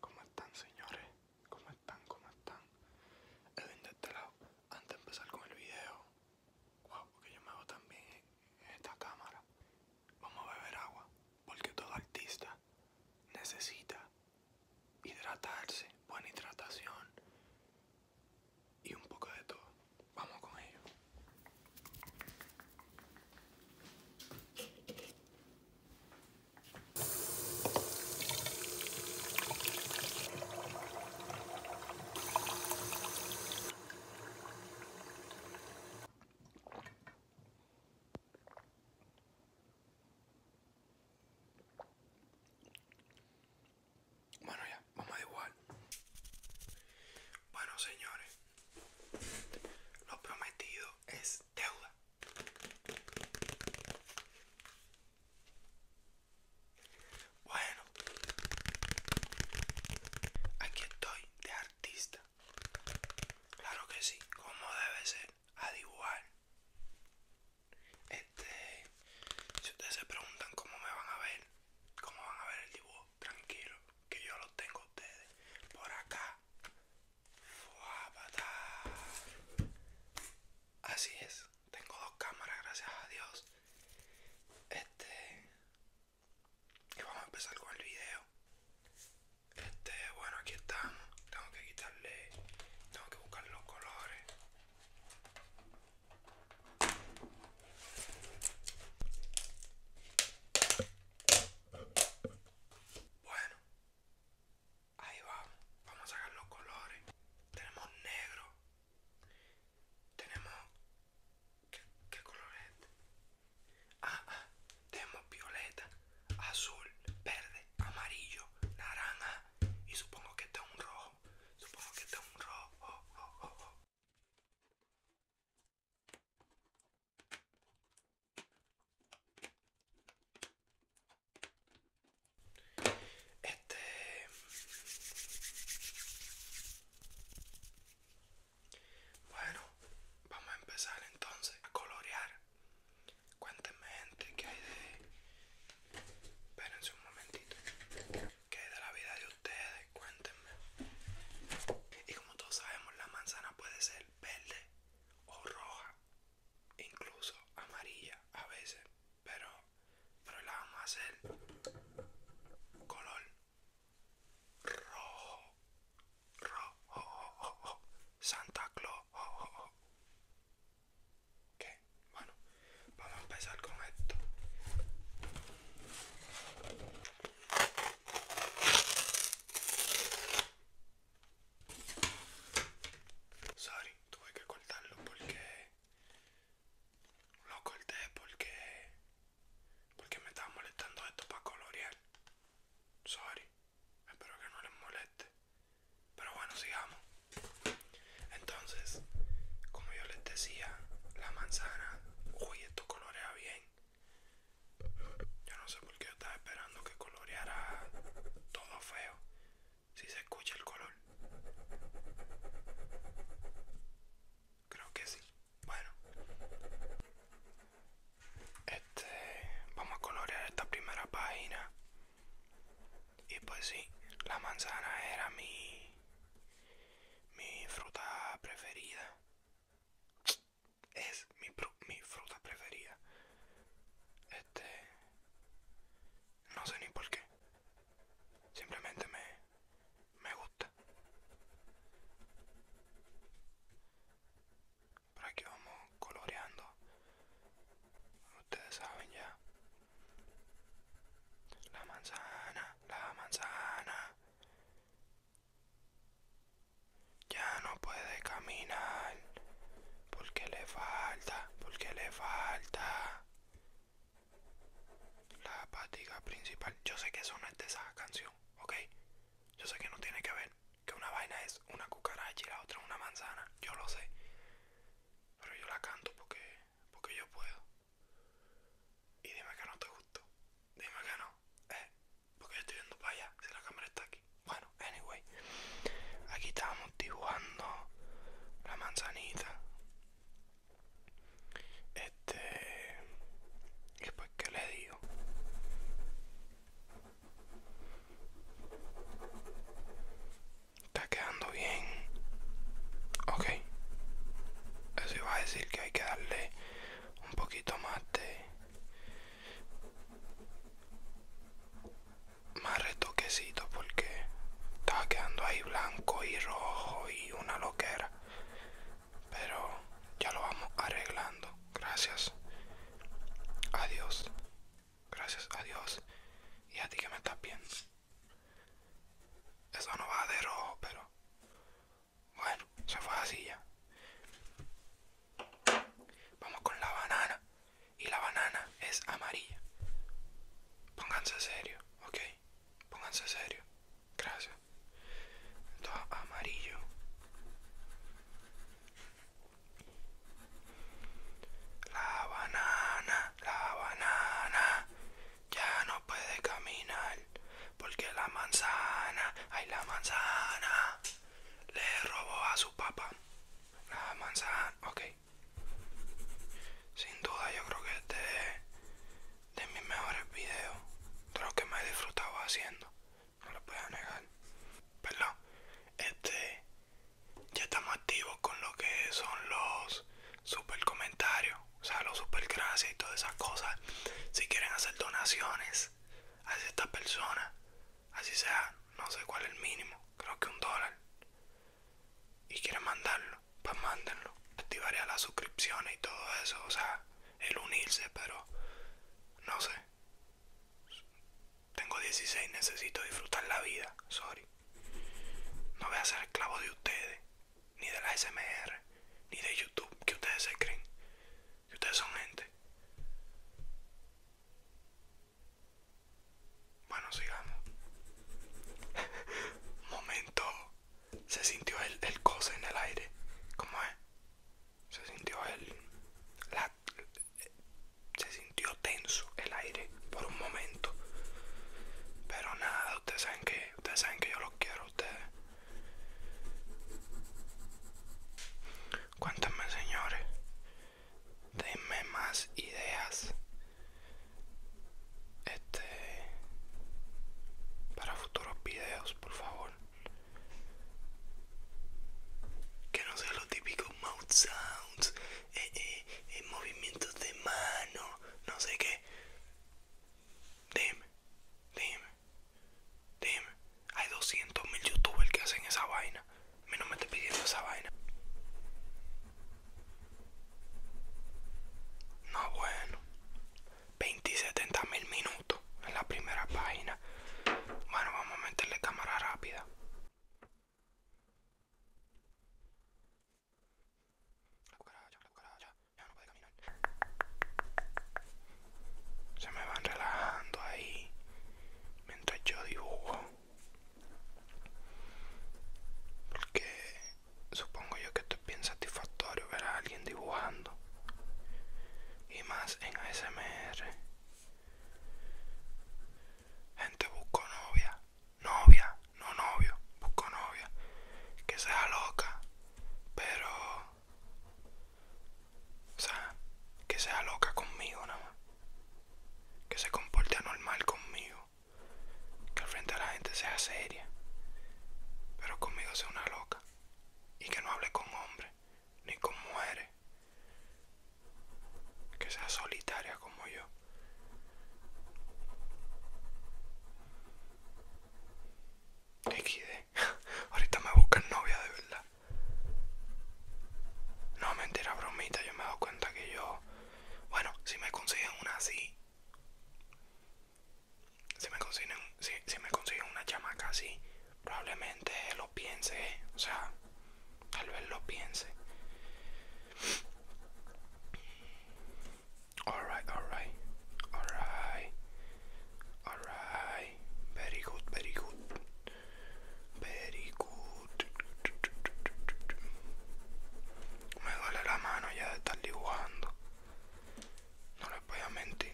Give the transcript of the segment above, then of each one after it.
¿Cómo están señores? ¿Cómo están? ¿Cómo están? Edwin de este lado. Antes de empezar con el video, guau, porque yo me hago también en esta cámara. Vamos a beber agua, porque todo artista necesita hidratarse, buena hidratación y un poco de todo. Vamos con ello. Bueno, ya, vamos a igual. Bueno, señores, lo prometido es deuda. Bueno, aquí estoy de artista. Claro que sí, como debe ser, A igual. Este, si ustedes se preguntan cómo me van a ver, cómo van a ver el dibujo, tranquilo, que yo lo tengo a ustedes por acá Así es, tengo dos cámaras, gracias a Dios. Este. Y vamos a empezar con el video. Este, bueno, aquí estamos. Tengo que quitarle. Tengo que buscar los colores. Bueno, Ahí vamos, vamos a sacar los colores. Tenemos negro. Tenemos... ¿Qué, color este? Ah, ah, tenemos violeta, azul, verde, amarillo, naranja y supongo que este es un rojo. Supongo que este es un rojo. Este... Bueno, vamos a empezar entonces a colorear. Cuéntenme gente que hay de... Espérense un momentito. qué hay de la vida de ustedes, cuéntenme. Y como todos sabemos, la manzana puede ser verde, o roja, incluso amarilla a veces, pero, pero la vamos a hacer color rojo, rojo, Santa Claus. ¿Qué? bueno, vamos a empezar con esto. Sorry, tuve que cortarlo porque... Lo corté porque... Porque me estaba molestando esto para colorear. Sorry, espero que no les moleste. Pero bueno, sigamos. Entonces, como yo les decía, la manzana... Uy, esto colorea bien. Yo no sé por qué estaba esperando que coloreara todo feo. Si se escucha el color. Creo que sí. Bueno. Este, vamos a colorear esta primera página. Y pues sí, la manzana era mi mi fruta preferida es, mi, fruta preferida. Este. No sé ni por qué. Simplemente me, me gusta. Por aquí vamos coloreando. Ustedes saben ya. La manzana, la manzana. Ya no puede caminar. Porque le falta, porque le falta la patiga principal. Yo sé que eso no es de esa canción, ¿ok? Yo sé que no tiene que ver. Que una vaina es una cucaracha y la otra una manzana. Yo lo sé. Pero yo la canto porque, porque yo puedo. Y dime que no te gustó. Dime que no. Eh, porque yo estoy viendo para allá si la cámara está aquí bueno anyway aquí estábamos dibujando la manzanita este y pues que le digo está quedando bien ok eso iba a decir que hay que darle un poquito más de más retoquecito porque estaba quedando ahí blanco y rojo y una loquera pero ya lo vamos arreglando gracias Adiós gracias adiós y a ti que me estás viendo eso no va de rojo pero bueno se fue así ya Vamos con la banana. Y la banana es amarilla. Pónganse serio, ok. Pónganse serio. Gracias. Todo amarillo. La banana, la banana. Ya no puede caminar. Porque la manzana, hay la manzana le robó a su papá la manzana. Ok, sin duda, yo creo que este de mis mejores videos, de que me he disfrutado haciendo. No lo puedo negar. Perdón, este ya estamos activos con lo que son los super comentarios, o sea, los super gracias y todas esas cosas. Si quieren hacer donaciones a esta persona, así sea no sé cuál es el mínimo, creo que un dólar, y quieren mandarlo, pues mándenlo. Activaré las suscripciones y todo eso, o sea, el unirse, pero no sé. Tengo 16, necesito disfrutar la vida, sorry. No voy a ser esclavo de ustedes, ni de la SMR, ni de YouTube, que ustedes se creen, que ustedes son gente. Bueno, sigamos. Momento. Se sintió el, el en el aire. ¿Cómo es? Se sintió el. se sintió tenso el aire por un momento. Pero nada, ustedes saben que. Ustedes saben que yo los quiero a ustedes. Cuéntenme señores denme más ideas este para futuros videos por favor que no sean los típicos mouth sounds eh, eh, eh, movimientos de mano no sé qué dime dime dime hay 200 mil youtubers que hacen esa vaina. A no me estoy pidiendo esa vaina. No, bueno. 20 mil minutos en la primera página. Bueno, vamos a meterle cámara rápida. Ya no Se me van relajando ahí. Mientras yo dibujo. Porque supongo yo que esto es bien satisfactorio ver a alguien dibujando. Y más en ASMR. Gente busco novia. Novia, no novio. Busco novia. Que sea loca. Pero... O sea, que sea loca conmigo nada más que se comporte anormal conmigo, que al frente a la gente sea seria, pero conmigo sea una loca y que no hable con hombres ni con mujeres, que sea solitaria como yo. XD, ahorita me buscan novia de verdad. No, mentira, bromita. Yo me he dado cuenta que yo. Bueno, si me consiguen una así. Si me consiguen, si me una chamaca así, probablemente lo piense. O sea, tal vez lo piense. Alright, alright. Alright. Alright. Very good, very good. Very Me duele la mano ya de estar dibujando. No les voy a mentir.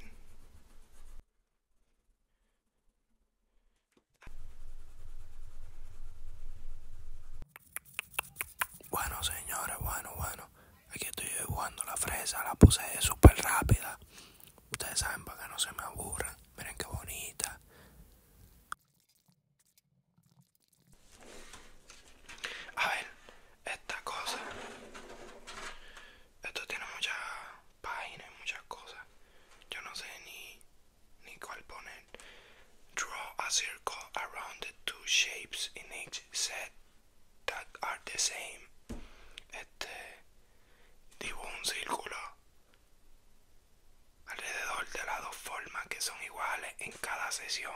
Bueno señores, bueno, bueno. Aquí estoy dibujando la fresa, la puse súper rápida. Ustedes saben para que no se me aburran. Miren qué bonita. A ver, esta cosa. Esto tiene muchas páginas, muchas cosas. Yo no sé ni, ni cuál poner. Draw a circle around the two shapes in each set that are the same. Este. Dibujo un círculo alrededor de las dos formas que son iguales en cada sesión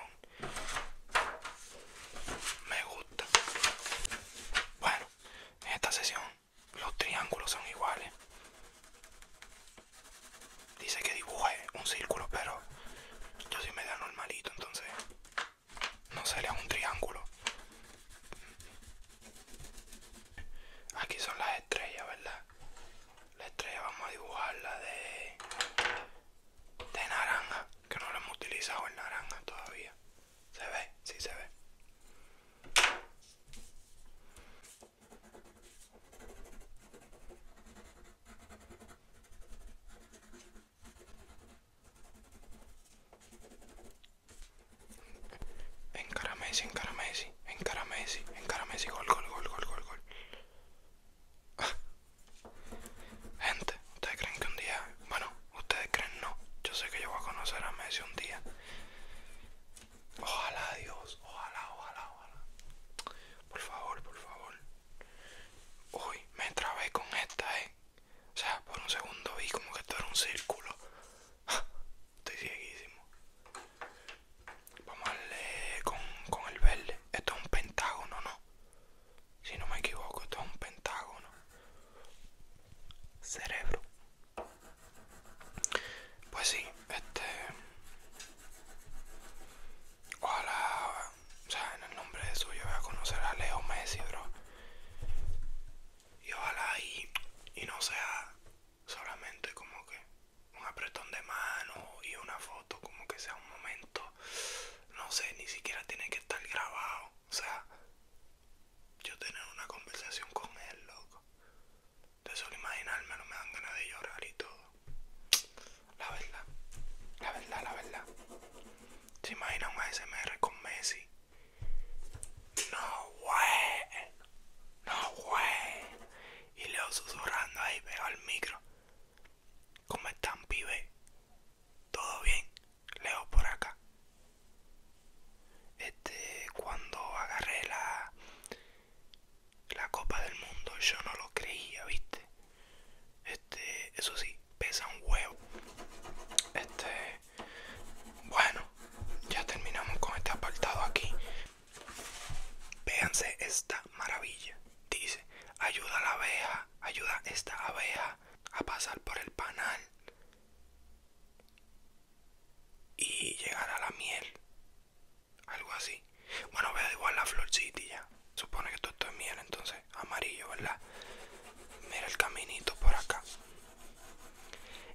me gusta bueno en esta sesión los triángulos son iguales dice que dibuje un círculo pero yo sí me da normalito entonces no sería un triángulo aquí son las estrellas verdad la estrella vamos a dibujarla de, de naranja, que no la hemos utilizado el naranja todavía. ¿Se ve? Sí se ve. Encara Messi, encara Messi, encara Messi, encara Messi, gol, gol, gol, gol, gol, gol. Ah. Gente, ¿ustedes creen que un día, bueno, ustedes creen no? Yo sé que yo voy a conocer a Messi un día. Ojalá Dios, ojalá, ojalá, ojalá. Por favor, por favor. Uy, me trabé con esta, eh. O sea, por un segundo vi como que todo era un círculo. Ah, estoy cieguísimo. Vamos a darle con, con el verde. Esto es un pentágono, ¿no? Si no me equivoco, esto es un pentágono. Cerebro. Pues sí, este... Ojalá, o sea, en el nombre de suyo voy a conocer a Leo Messi, bro. Y ojalá y, y no sea solamente como que un apretón de mano y una foto como que sea un momento no sé ni siquiera tiene que estar grabado o sea yo tener una conversación con él loco de solo no me dan ganas de llorar y todo la verdad la verdad la verdad se imagina un ASMR con Messi no way no way y Leo susurrando ahí veo al micro. como están, pibe? ¿Todo bien? Leo por acá. Este, cuando agarré la, la Copa del Mundo, yo no lo creía, ¿viste? Este, eso sí, pesa un huevo. Este, bueno, ya terminamos con este apartado aquí. Véanse esta maravilla. Dice, ayuda a la abeja, ayuda esta abeja a pasar por el panal y llegar a la miel. Algo así. Bueno, vea igual la florcita ya. Supone que todo esto es miel, entonces amarillo, ¿verdad? Mira el caminito por acá.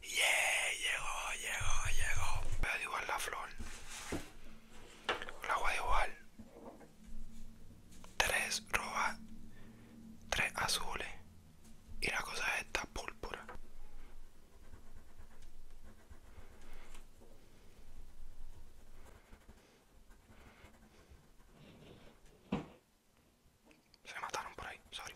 Yeah, llegó, llegó, llegó. Pero igual la flor. el agua igual. Tres rojas, tres azules. Y la cosa es esta púrpura. Se mataron por ahí, sorry.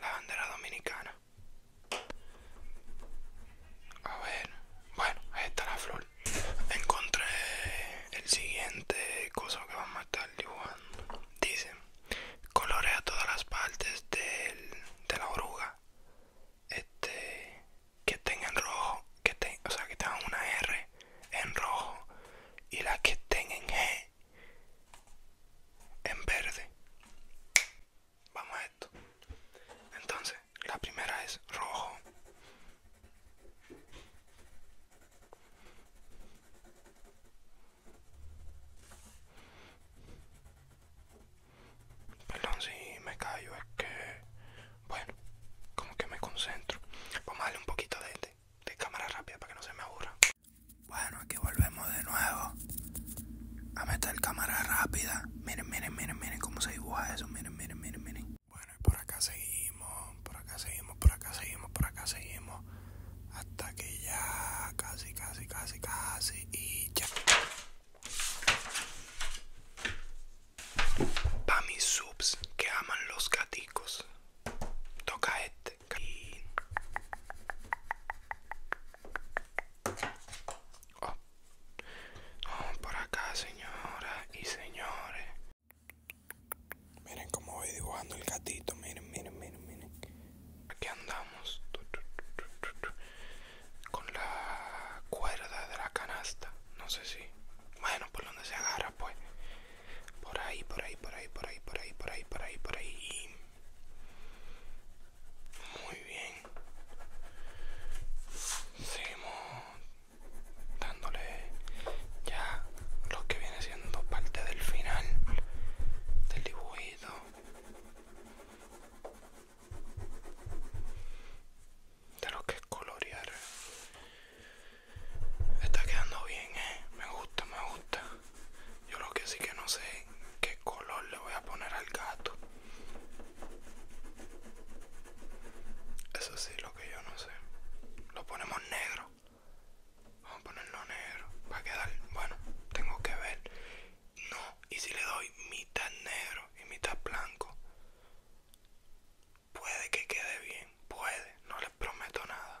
la bandera dominicana. A ver, bueno, ahí está la flor. Encontré el siguiente cosa que vamos a estar dibujando. Dice, colorea todas las partes de la oruga. Este, que tengan rojo, que ten, o sea, que tengan una R en rojo y las que estén en G en verde. Vamos a esto. Entonces, la primera es rojo. Perdón si me callo, es que... Bueno, como que me concentro. Vamos a darle un poquito de, cámara rápida para que no se me aburra. Bueno, aquí volvemos de nuevo a meter cámara rápida. Miren, miren, miren, miren cómo se dibuja eso. Miren, miren, miren, miren. Bueno, y por acá seguimos, por acá seguimos, por acá seguimos, por acá seguimos. Hasta que ya casi, casi, casi, casi. Y ya. Para mis subs que aman los gaticos, toca este por acá, señoras y señores. Miren cómo voy dibujando el gatito. Miren, miren, miren, miren. Aquí andamos con la cuerda de la canasta. No sé si. Bueno, por donde se agarra, pues. Por ahí, por ahí, por ahí, por ahí, por ahí, por ahí, por ahí, por ahí. Muy bien. Seguimos dándole ya lo que viene siendo parte del final del dibujito. De lo que es colorear. Está quedando bien, eh. Me gusta, me gusta. Yo lo que sí que no sé qué color le voy a poner al gato. Eso sí, lo que yo no sé. Lo ponemos negro. Vamos a ponerlo negro. Va a quedar, bueno, tengo que ver. No, y si le doy mitad negro y mitad blanco, puede que quede bien. Puede, no les prometo nada.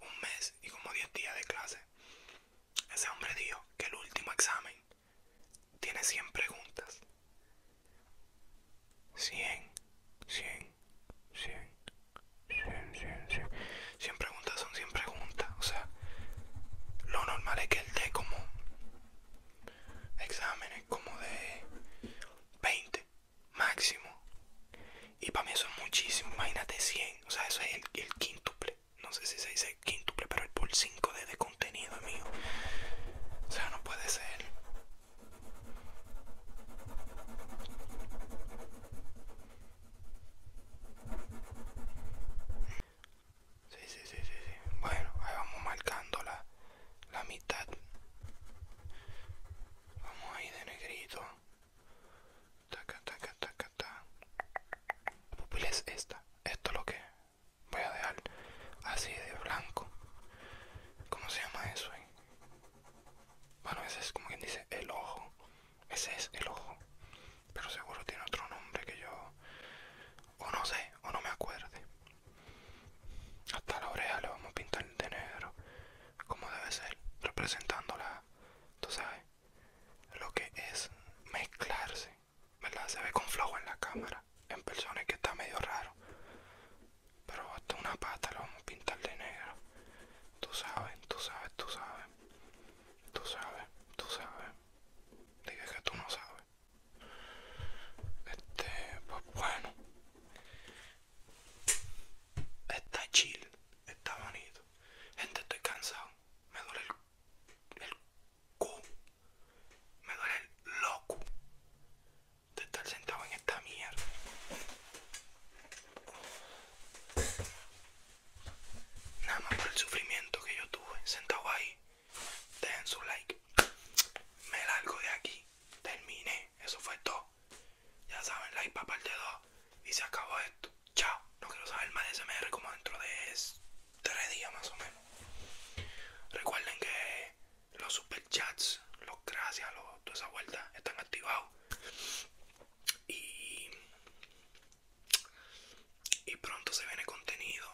un mes y como 10 días de clase. Ese hombre dijo que el último examen tiene 100 preguntas. 100, 100, 100, 100, 100, 100. preguntas son 100 preguntas. O sea, lo normal es que él dé como exámenes como de 20 máximo. Y para mí eso es muchísimo, imagínate 100, o sea, eso es el, quintuple No sé si se dice quintuple pero el por 5 de, de contenido mío. O sea, no puede ser. Sí, sí, sí, sí, sí. Bueno, ahí vamos marcando la, la mitad. Vamos ahí de negrito. Taca, taca, taca, La pupila es esta. Esto es lo que voy a dejar así de blanco. ¿Cómo se llama eso? Bueno, ese es como quien dice el ojo. Ese es el ojo. Pero seguro tiene otro nombre que yo... O no sé, o no me acuerde. Hasta la oreja le vamos a pintar de negro. Como debe ser. Representando la tú sabes, lo que es mezclarse, ¿verdad? Se ve con flojo en la cámara, en personas que está medio raro, pero hasta una pata lo vamos a pintar de negro, tú sabes, tú sabes, tú sabes, tú sabes, tú sabes, Dile que tú no sabes. Este, pues bueno, Está chill, está bonito. Gente, estoy cansado. Me duele el, el cu. Me duele el loco de estar sentado en esta mierda. Nada más por el sufrimiento que yo tuve sentado ahí. Dejen su like. Me largo de aquí. Terminé. Eso fue todo. Ya saben, like para parte 2. Y se acabó esto. Chao. No quiero saber más de SMR como dentro de 3 días más o menos. Recuerden que los super chats los gracias, los, de esa vuelta están activados. Y, y pronto se viene contenido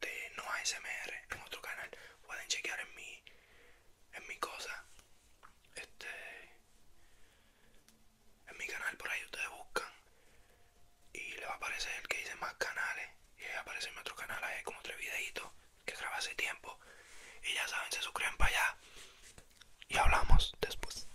de no SMR en otro canal. Pueden chequear en mi, en mi cosa. Este en mi canal por ahí ustedes buscan y le va a aparecer el que dice más canales y ahí aparece en otro canal hay como tres videitos que grabé hace tiempo y ya saben se suscriben para allá y hablamos después